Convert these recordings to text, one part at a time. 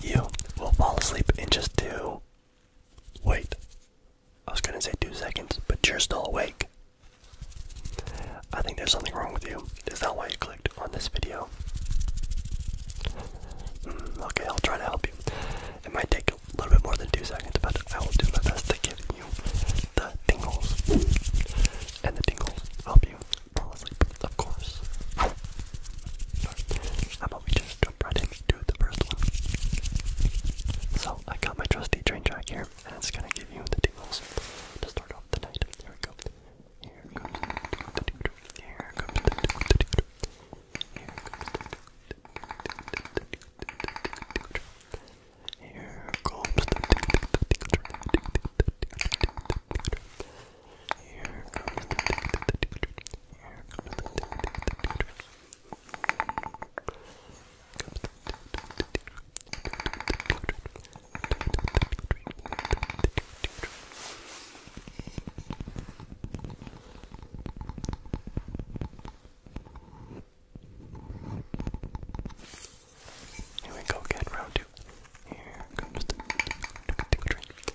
You will fall asleep in just two. Wait. I was gonna say two seconds, but you're still awake. I think there's something wrong with you. Is that why you clicked on this video? Hmm, okay, I'll try to help you. It might take a little bit more than two seconds, but I will do my best to give you the tingles. And the tingles help you fall asleep, of course. How about we just jump right into the first one? So, I got my trusty train track here, and it's gonna give you the tingles to start off the night. Here we go. Here comes the Here comes the here we go again, round two. Here comes the tickle, tickle, tickle, tickle,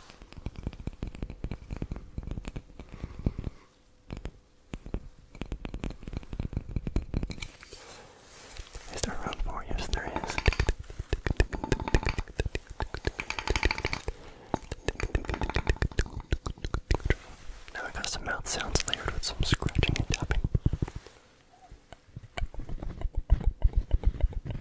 Is there room for? Yes, there is. Now we got some mouth sounds layered with some scratching and tapping.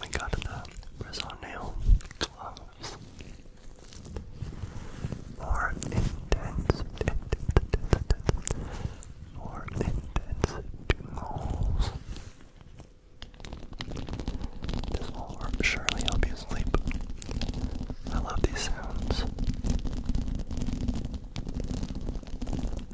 We got the Rizzo nail gloves. More intense, more intense jingles. This will surely help you sleep. I love these sounds.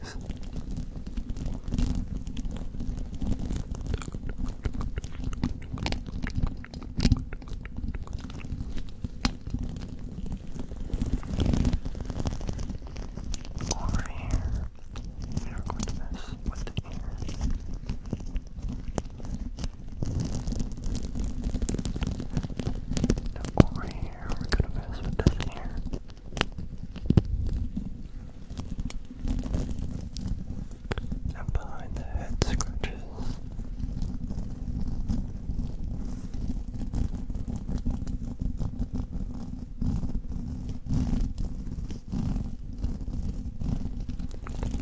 guys. Over here, we are going to mess with the air. over here, we're going to mess with this air. And behind the head scratches.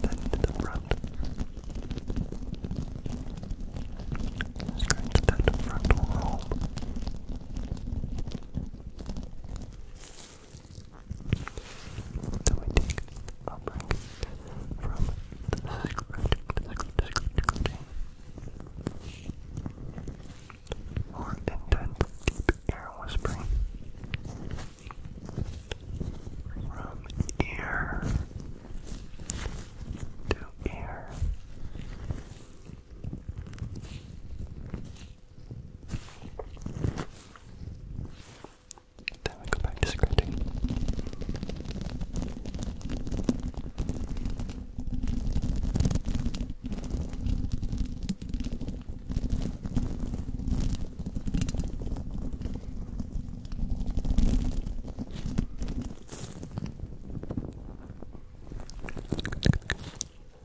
Then to the front. Scratch that frontal lobe. So I take a break from the scratching, or intense air whispering from ear to ear. Then we go back to scratching.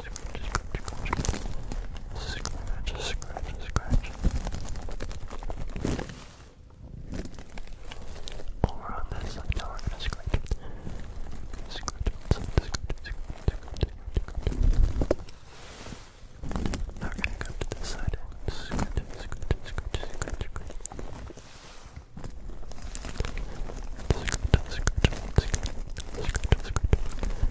scratch, scratch, scratch. Over on this side, now we're gonna scratch. Scratch, scratch, scratch, scratch, scratch. Now we're gonna go to this side. Scratch, scratch, scratch, scratch, scratch. Scratch, scratch, scratch, scratch, scratch.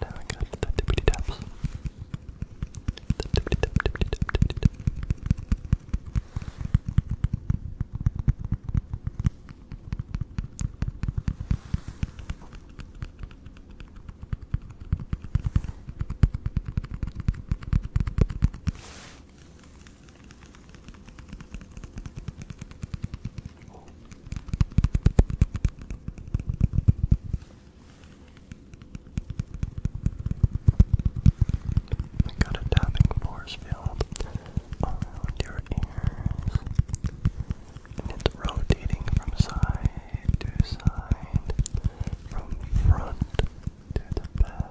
Now we're going to the tippity taps. The tippity tap, tippity tap, tippity tap. Tippity tap, tippity tap, tippity tap. I got a tapping force field oh, around your ears it's rotating from side to side, from the front to the back.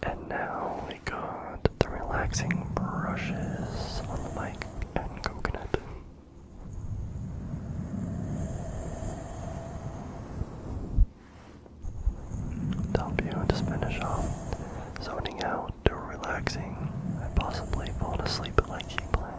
And now we got the relaxing brushes on the mic and coconut to help you just finish off zoning out or relaxing and possibly falling asleep like you planned.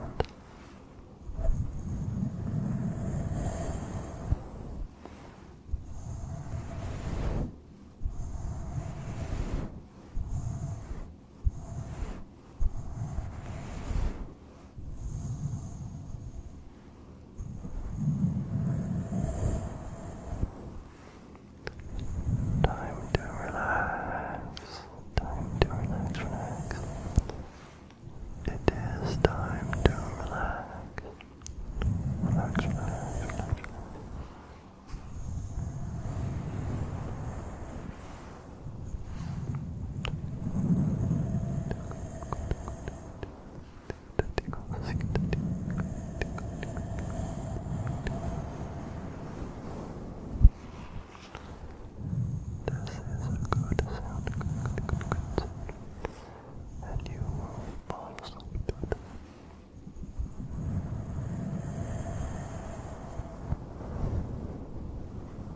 Time to relax. Time to relax, It is time to relax. Relax, is a good sound, And you will fall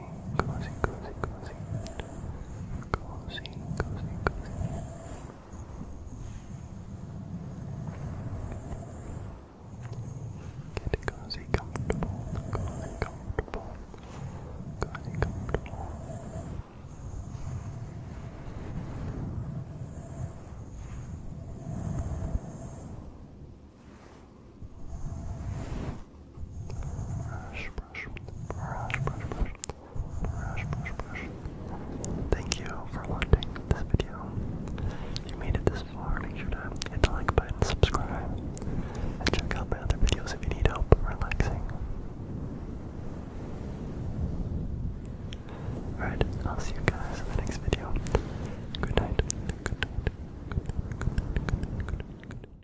closing, closing, closing, closing, closing, closing, closing. Get cozy, comfortable, cozy, comfortable, cozy, comfortable. Good, Thank you for watching this video. If you made it this far, make sure to hit the like button, subscribe, and check out my other videos if you need help relaxing. Alright, I'll see you guys in the next video. Good night. Good night. Good night.